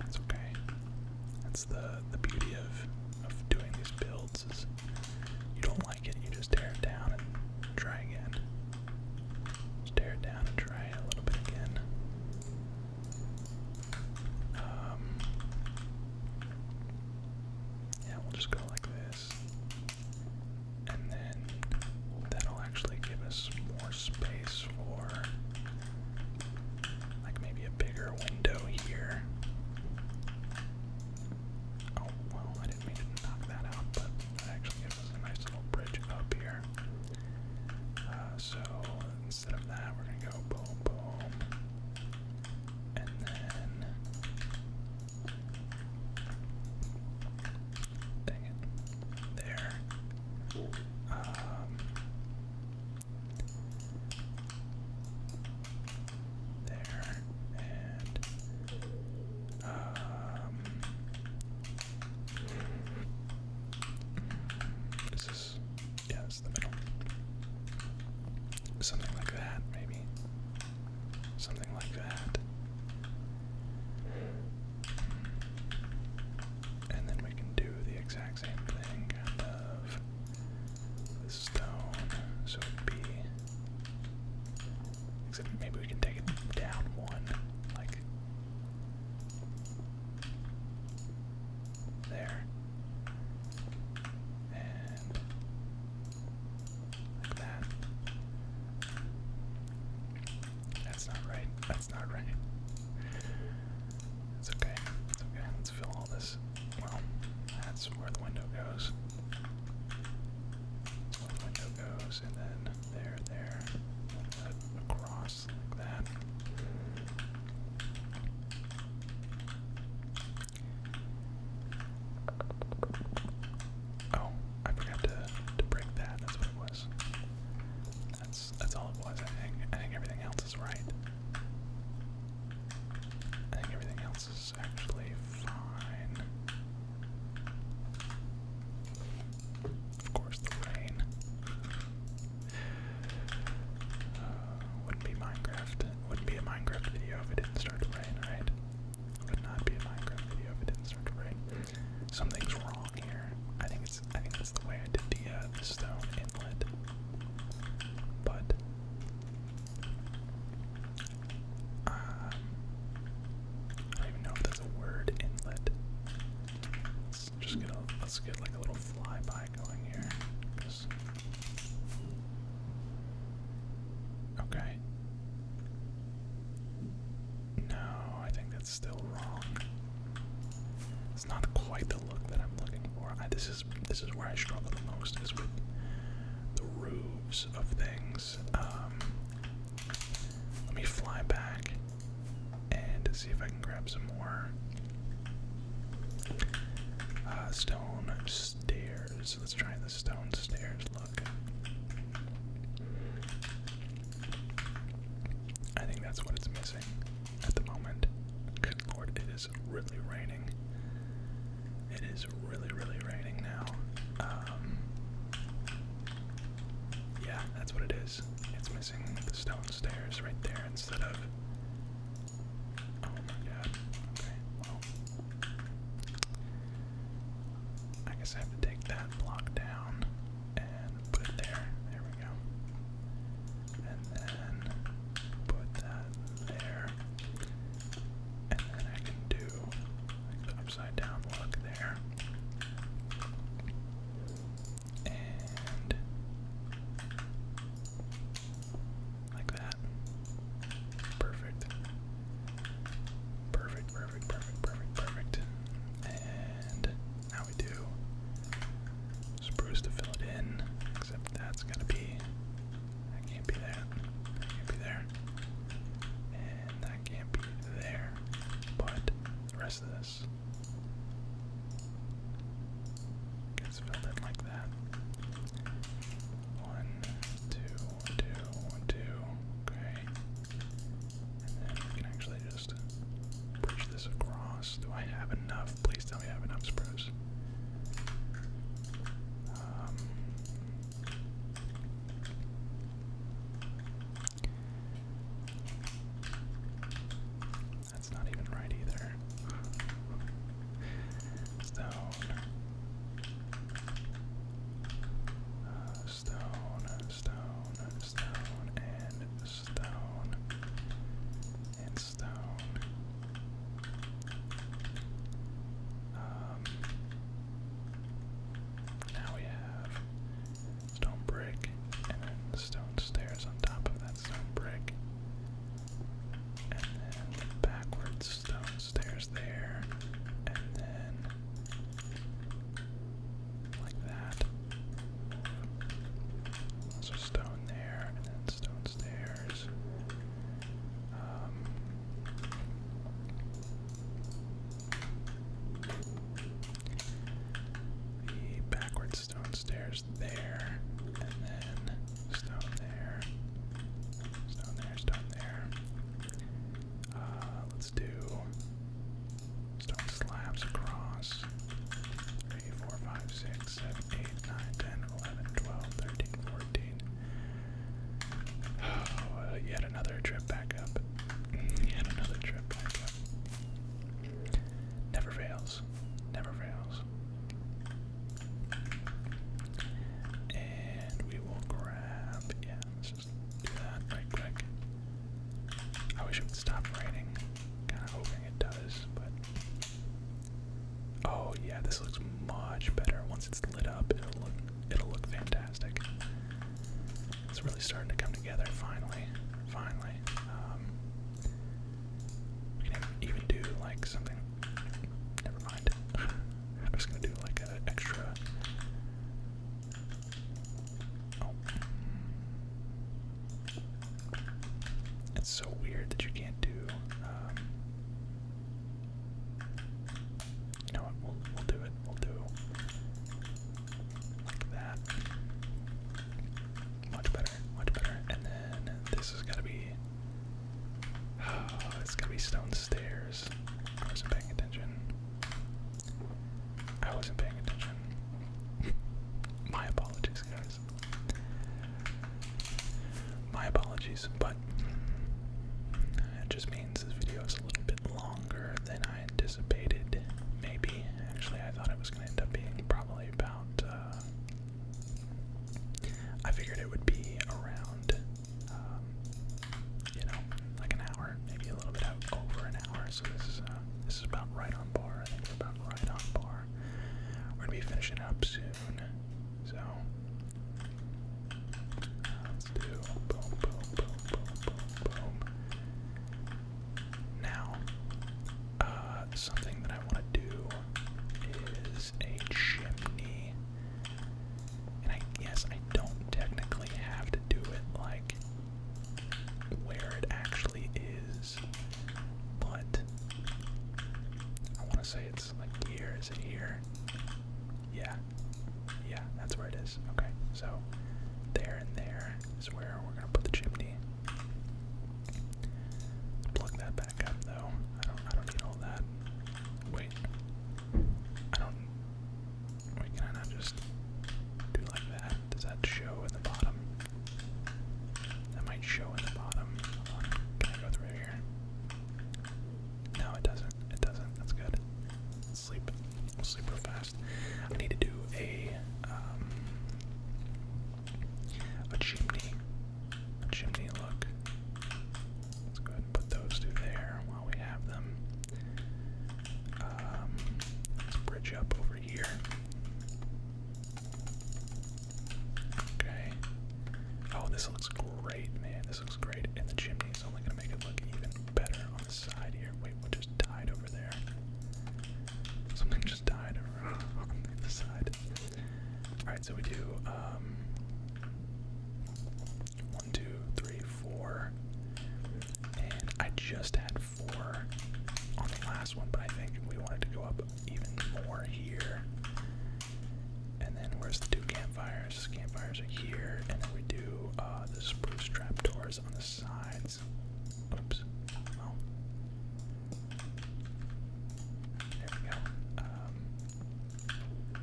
That's okay. That's the the beauty of of doing these builds is you don't like it, you just tear it down and try again. tear it down and try it a little bit again. Um, yeah, we'll just go like this. And then that'll actually give us more space for like maybe a bigger window here. Oh, well, I didn't mean to knock that out, but that actually gives us a nice little bridge up here. Uh, so instead of that, we're gonna go boom, boom, and then. There. Um, there. And. Um, this is is yes, the middle. Something like that, maybe. Something like that. And then we can do the exact same thing, of. The stone, so it'd be. Except maybe we can take it down one, like there. And like that. That's not right. That's not right. It's okay. It's okay. Let's fill all this. Well, that's where the window goes. where the window goes, and then there, there, across. Oh, I forgot to to break that. That's what it was. That's that's all it was. I think I think everything else is right. I think everything else is actually fine. Of course, the rain. Uh, wouldn't be Minecraft. Wouldn't be a Minecraft video if it didn't start to rain, right? Would not be a Minecraft video if it didn't start to rain. Something's wrong here. I think it's. I think that's the way I did the, uh, the stone inlet. But um, I don't even know if that's a word inlet let's just get a let's get like a little flyby going here. Okay. No, I think that's still wrong. It's not quite the look that I'm looking for. this is this is where I struggle the most is with the roofs of things. Um, let me fly back and see if I can grab some more uh, stone stairs. Let's try the stone stairs. Look, I think that's what it's missing at the moment. Good lord, it is really raining. It is really, really raining now. Um, yeah, that's what it it's missing the stone stairs right there instead of. Oh my god. Okay, well. I guess I have to take that block down and put it there. There we go. And then put that there. And then I can do like upside down look there and like that. Perfect. Perfect, perfect, perfect, perfect, And now we do spruce to fill it in, except that's gonna be that can't be there. can't be there. And that can't be there. But the rest of the this. Let's it like that. One, two, two, one, two. Okay. And then we can actually just push this across. Do I have enough? Please tell me I have enough spruce. Um, that's not even right either. Uh, stone. stone, stone, and stone, and stone. Um, now we have stone brick, and then stone stairs on top of that stone brick. And then backwards stone stairs there, and then like that. So stone there, and then stone stairs. Um, backwards stone stairs there, and then stone there, stone there, stone there. Uh, let's do stone slabs across. 3, Oh, yet another trip back up. yet another trip back Never fails. Never fails. And we will grab. Yeah, let's just do that right quick. I wish it would stop raining. Kind of hoping it does, but. Oh yeah, this looks much better. Once it's lit up, it'll look it'll look fantastic. It's really starting to come together finally. Finally. Um, we can even do like something. Never mind. I was gonna do like an extra. Oh. It's so weird that you can't do. Um, you know what? We'll we'll do it. We'll do like that. Much better, much better. And then this is going to be. Oh, it's to be stone stairs. I wasn't paying attention. I wasn't paying attention. My apologies, guys. My apologies, but it just means this video is a little bit longer than I Maybe. Actually, I thought it was going to end up being probably about. Uh, I figured it would be around, um, you know, like an hour, maybe a little bit over an hour. So this is uh, this is about right on bar. I think we're about right on par. We're gonna be finishing up soon. So uh, let's do boom, boom, boom, boom, boom, boom. Now, uh, something that I want to do is a chimney. And I guess I don't technically have to do it like where it actually is, but I want to say it's like here. Is it here? Yeah. Yeah, that's where it is. Okay, so there and there. Is where we're gonna put the chimney. Plug that back up though. I don't I don't need all that. Wait. I don't can I just do like that? Does that show in the bottom? That might show in the bottom. Can I go through here? No, it doesn't. It doesn't. That's good. sleep. We'll sleep real fast. I need to do a um, a chimney, a chimney look. Let's go ahead and put those two there while we have them. Um, let's bridge up over here. Okay. Oh, this looks great, man. This looks great. And the chimney is only going to make it look even better on the side here. Wait, what just died over there? Something just died on the side. Alright, so we do um, one, two, three, four. And I just had four on the last one, but I think we want it to go up even more here. And then where's the two campfires? Campfires are here, and then we do uh, the spruce trap trapdoors on the side. Oops. There we go. Um,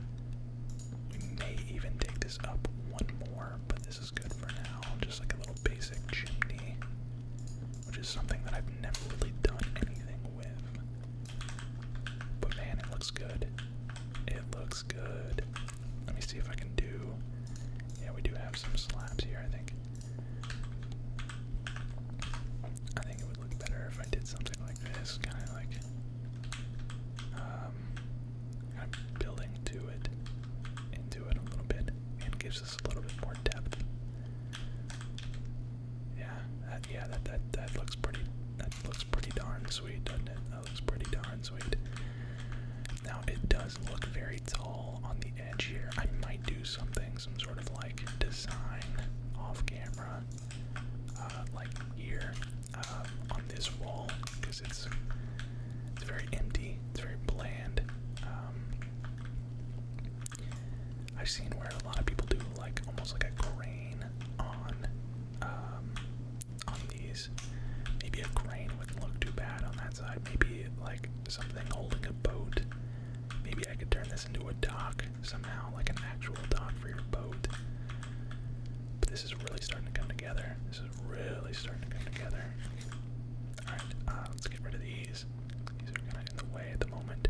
we may even take this up one more, but this is good for now. Just like a little basic chimney, which is something that I've never really done anything with. But man, it looks good. It looks good. Let me see if I can do. Yeah, we do have some slabs here, I think. I think it would look better if I did something like this, kind of like um, kind building to it, into it a little bit, and gives us a little bit more depth. Yeah, that, yeah, that that that looks pretty. That looks pretty darn sweet, doesn't it? That looks pretty darn sweet. Now it does look very tall on the here. I might do something, some sort of like design off camera, uh, like here um, on this wall, because it's it's very empty, it's very bland. Um, I've seen where a lot of people do like almost like a grain on um, on these. Maybe a grain wouldn't look too bad on that side. Maybe like something holding a boat. Maybe I could turn this into a dock somehow, like an actual dock for your boat. But this is really starting to come together. This is really starting to come together. Alright, uh, let's get rid of these. These are kind of in the way at the moment.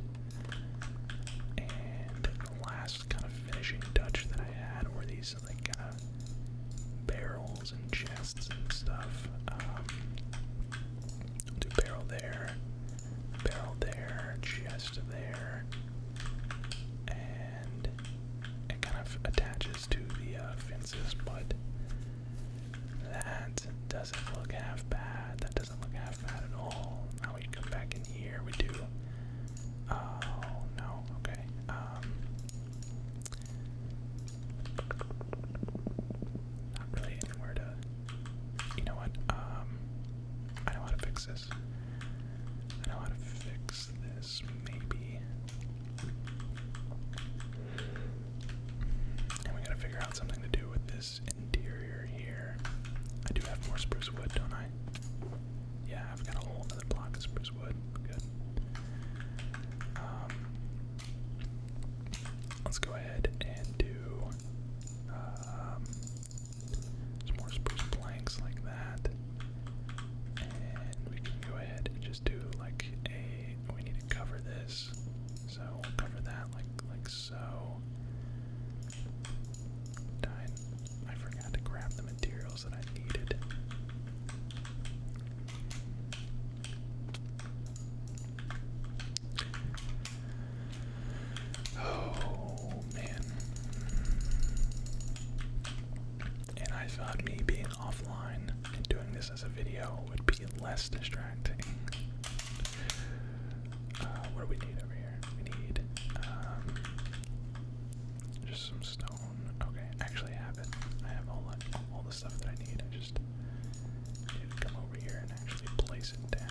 And the last kind of finishing touch that I had were these like kind of barrels and chests and stuff. Um, i do barrel there, barrel there, chest there, and it kind of attaches to the uh, fences, but that doesn't look half bad. That doesn't look half bad at all. Now we come back in here. We do. Oh no. Okay. Um, not really anywhere to. You know what? Um, I know how to fix this. I know how to fix this. Maybe. And we gotta figure out something to do with this interior here. I do have more spruce wood, don't I? Yeah, I've got a whole other block of spruce wood. Good. Um, Let's go ahead and do um, some more spruce planks like that. And we can go ahead and just do like a. We need to cover this, so we'll cover that like like so. Dine. I forgot to grab the materials that I needed. Oh man. And I thought me being offline and doing this as a video would be less distracting. Uh, what do we need over here? We need um, just some stone. Okay, I have it. I have all, all and actually place it down.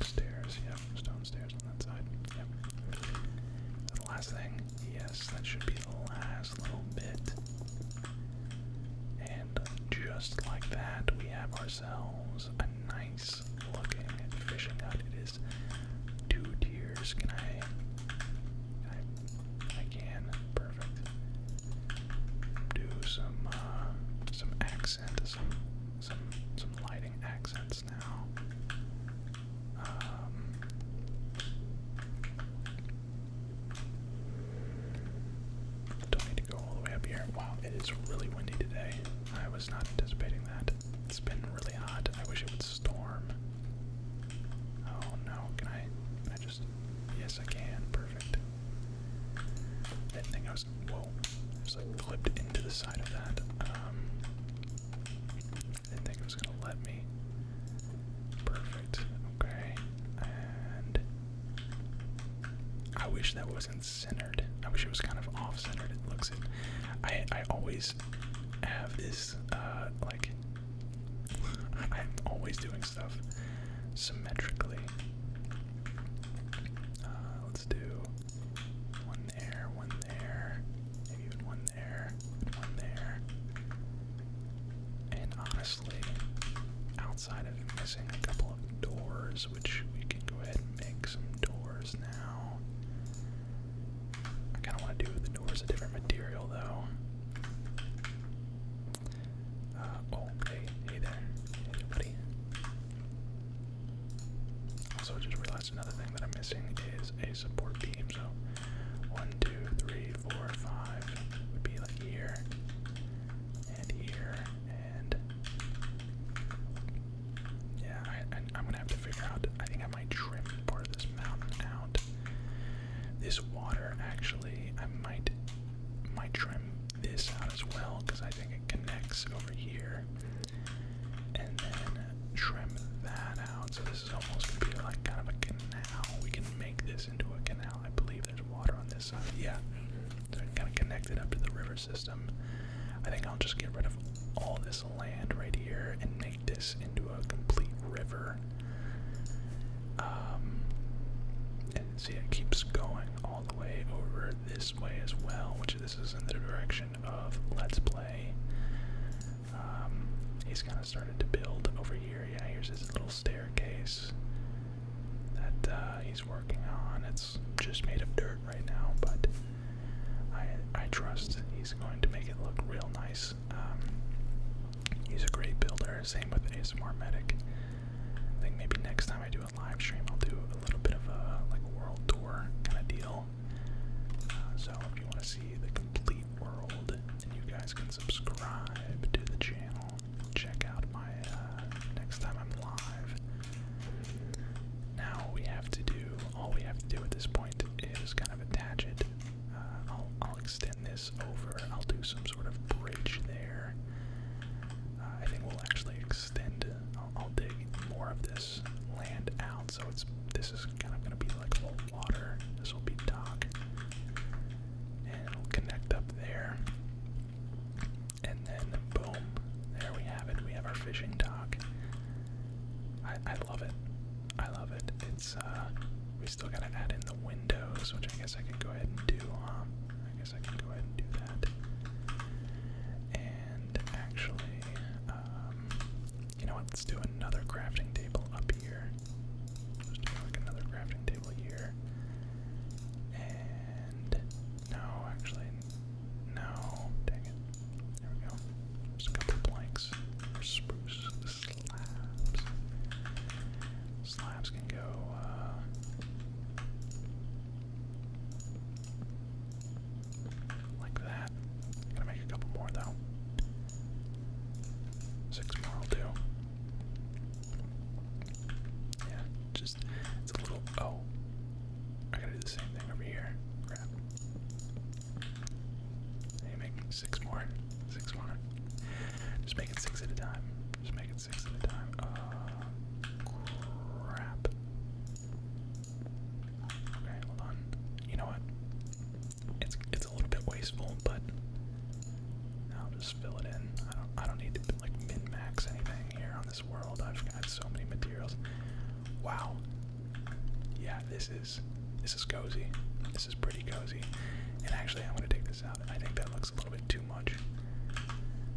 stairs. Yep, stone stairs on that side. the last thing, yes, that should be the last little bit. And just like that, we have ourselves a nice looking fishing hut. It two tiers. Can I? I, can. Perfect. Do some uh, some accent, some some some lighting accents now. Um, don't need to go all the way up here. Wow, it is really windy today. I was not anticipating that. It's been really hot. I wish it would storm. Oh no, can I I just yes I can, perfect. That thing I was whoa. I was like clipped into the side of that. Um didn't think it was gonna let me. Perfect. Okay. And I wish that wasn't centered. I wish it was kind of off centered. It looks I I always have is uh, like I'm always doing stuff symmetrically. Uh, let's do one there, one there, maybe even one there, one there. And honestly, outside of missing a couple of doors, which we can go ahead and make some doors now. I kind of want to do the doors a different material though. Uh, oh, hey, hey there, buddy. Also, just realized another thing that I'm missing is a support beam. So, one, two, three, four, five would be like here, and here, and yeah, I, I, am gonna have to figure out. I think I might trim part of this mountain out. This water, actually, I might might trim this out as well because I think it connects over here, and then trim that out. So this is almost gonna be like kind of a canal. We can make this into a canal. I believe there's water on this side. Yeah, so kind of connected up to the river system. I think I'll just get rid of all this land right here and make this into a complete river. Um, and see, it keeps going all the way over this way as well, which this is in the direction of Let's Play. Um, he's kind of started to build over here. Yeah, here's his little staircase that uh, he's working on. It's just made of dirt right now, but I I trust he's going to make it look real nice. Um, he's a great builder. Same with ASMR Medic. I think maybe next time I do a live stream, I'll do a little bit of a like world tour kind of deal. Uh, so if you want to see the complete world, you guys can subscribe to the channel. Check out my uh, next time I'm live. Now we have to do all we have to do at this point is kind of attach it. Uh, I'll, extend this over. I'll do some sort of bridge there. Uh, I think we'll actually extend. I'll, dig more of this land out, so it's this is kind of going to be like full water. This will be dock, and it'll connect up there. And then boom, there we have it. We have our fishing dock. I I love it. I love it. It's uh we still gotta add in the windows, which I guess I can go ahead and do. Um, I guess I can go ahead and do that. And actually, um, you know what? Let's do another crafting table up here. Just us like another crafting table here. And no, actually, no, dang it. There we go. Just a couple blanks for spruce slabs. Slabs can go, uh, like that. Gotta make a couple more though. Six more will do. Yeah, just, it's a little, oh. I gotta do the same thing over here. Crap you make six more. Six more. Just make it six at a time. Just make it six at a time. Uh, crap. Okay, hold on. You know what? It's it's a little bit wasteful, but I'll just fill it in. I don't I don't need to like min max anything here on this world. I've got so many materials. Wow. Yeah, this is this is cozy. This is pretty cozy. And actually, I'm gonna take this out. I think that looks a little bit too much.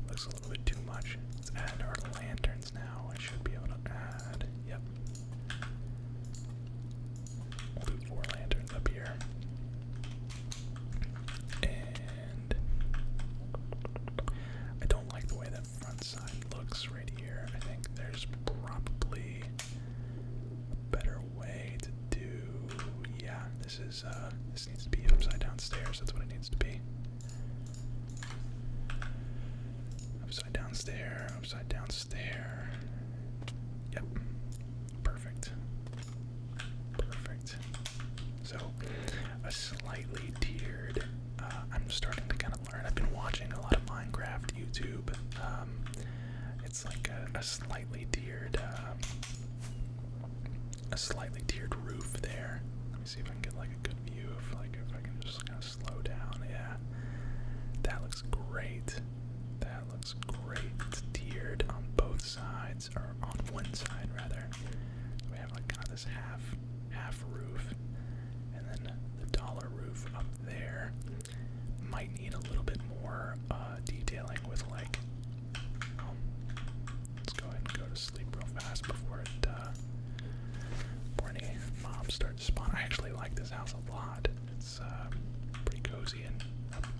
Looks a little bit too much. Let's add our lanterns now. I should be able to add. Yep. we four lanterns up here. And I don't like the way that front side looks right here. I think there's probably a better way to do. Yeah, this is. Uh, this needs to be upside down stairs. That's what it needs to be. Upside down stair. Upside down stair. Yep. Perfect. Perfect. So, a slightly tiered. Uh, I'm starting to kind of learn. I've been watching a lot of Minecraft YouTube. Um, it's like a, slightly tiered, um, a slightly tiered roof there. Let me see if I can get like a good view of like if I can just kind of slow down. Yeah, that looks great. That looks great. tiered on both sides, or on one side rather. we have like kind of this half half roof, and then the dollar roof up there. Might need a little bit more uh, detailing with like. Um, let's go ahead and go to sleep real fast before it. Uh, before any mobs I actually like this house a lot. It's uh, pretty cozy and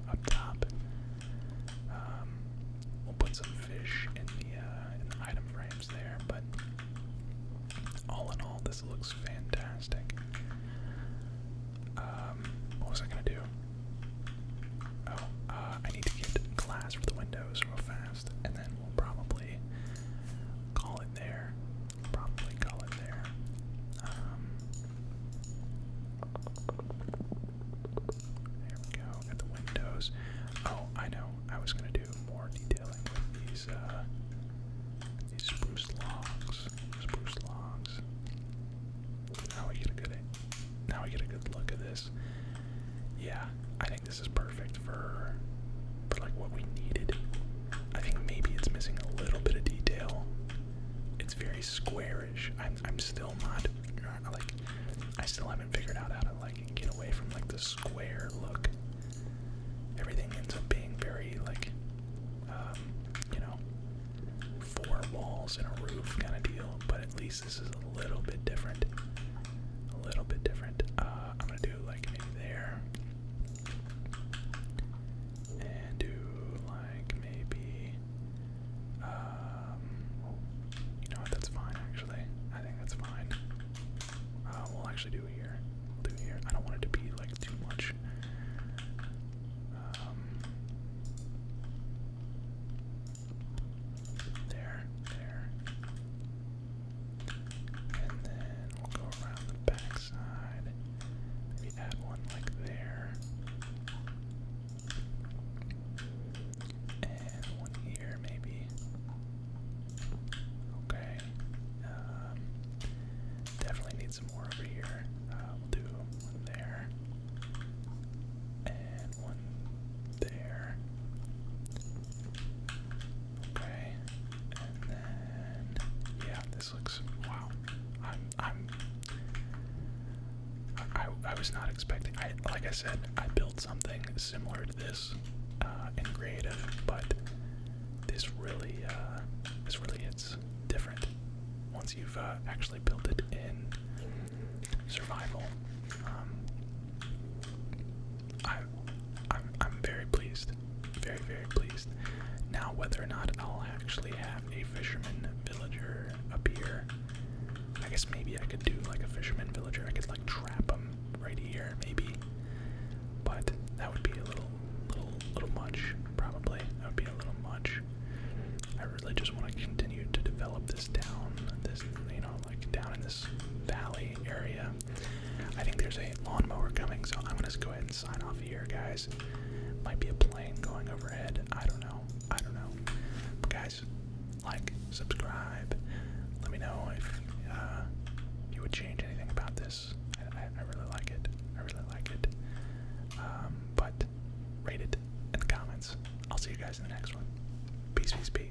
up, top. Um, we'll put some fish in the uh, in the item frame there, but all in all, this looks fantastic. Um, what was I gonna do? Oh, uh, I need to get glass for the windows real fast, and then we'll probably call it there. Probably call it there. Um, there we go. Got the windows. Oh, I know. I was gonna do more detailing with these uh, these spruce logs. Spruce logs. Now we get a good now we get a good look at this. Yeah, I think this is perfect for for like what we needed. I think maybe it's missing a little bit of detail. It's very squarish. I'm I'm still not like I still haven't figured out how to like get away from like the square look everything ends up being very like um, you know four walls and a roof kind of deal but at least this is a little bit different a little bit different uh, I'm gonna do like maybe there and do like maybe um, you know what that's fine actually I think that's fine uh, we'll actually do it here. do here. I don't want it to be like too much. Um, there, there. And then we'll go around the back Maybe add one like there. And one here, maybe. Okay. Um, definitely need some more over here. Uh, we'll do one there. And one there. Okay. And then yeah, this looks wow. I'm I'm I, I was not expecting I like I said, I built something similar this uh, creative, but this really, uh, this really hits different once you've uh, actually built it in survival. Um, I, I'm, I'm very pleased, very very pleased. Now whether or not I'll actually have a fisherman villager appear, I guess maybe I could do like a fisherman villager. I could like trap them right here, maybe. But that would be a little, little, little much, probably. That would be a little much. I really just want to continue to develop this down, this, you know, like down in this valley area. I think there's a lawnmower coming, so I'm gonna just go ahead and sign off here, guys. Might be a plane going overhead. I don't know. I don't know. But guys, like, subscribe. Let me know if uh, you would change anything about this. I, really like it. I really like it. Um, but rate it in the comments. I'll see you guys in the next one. Peace, peace, peace.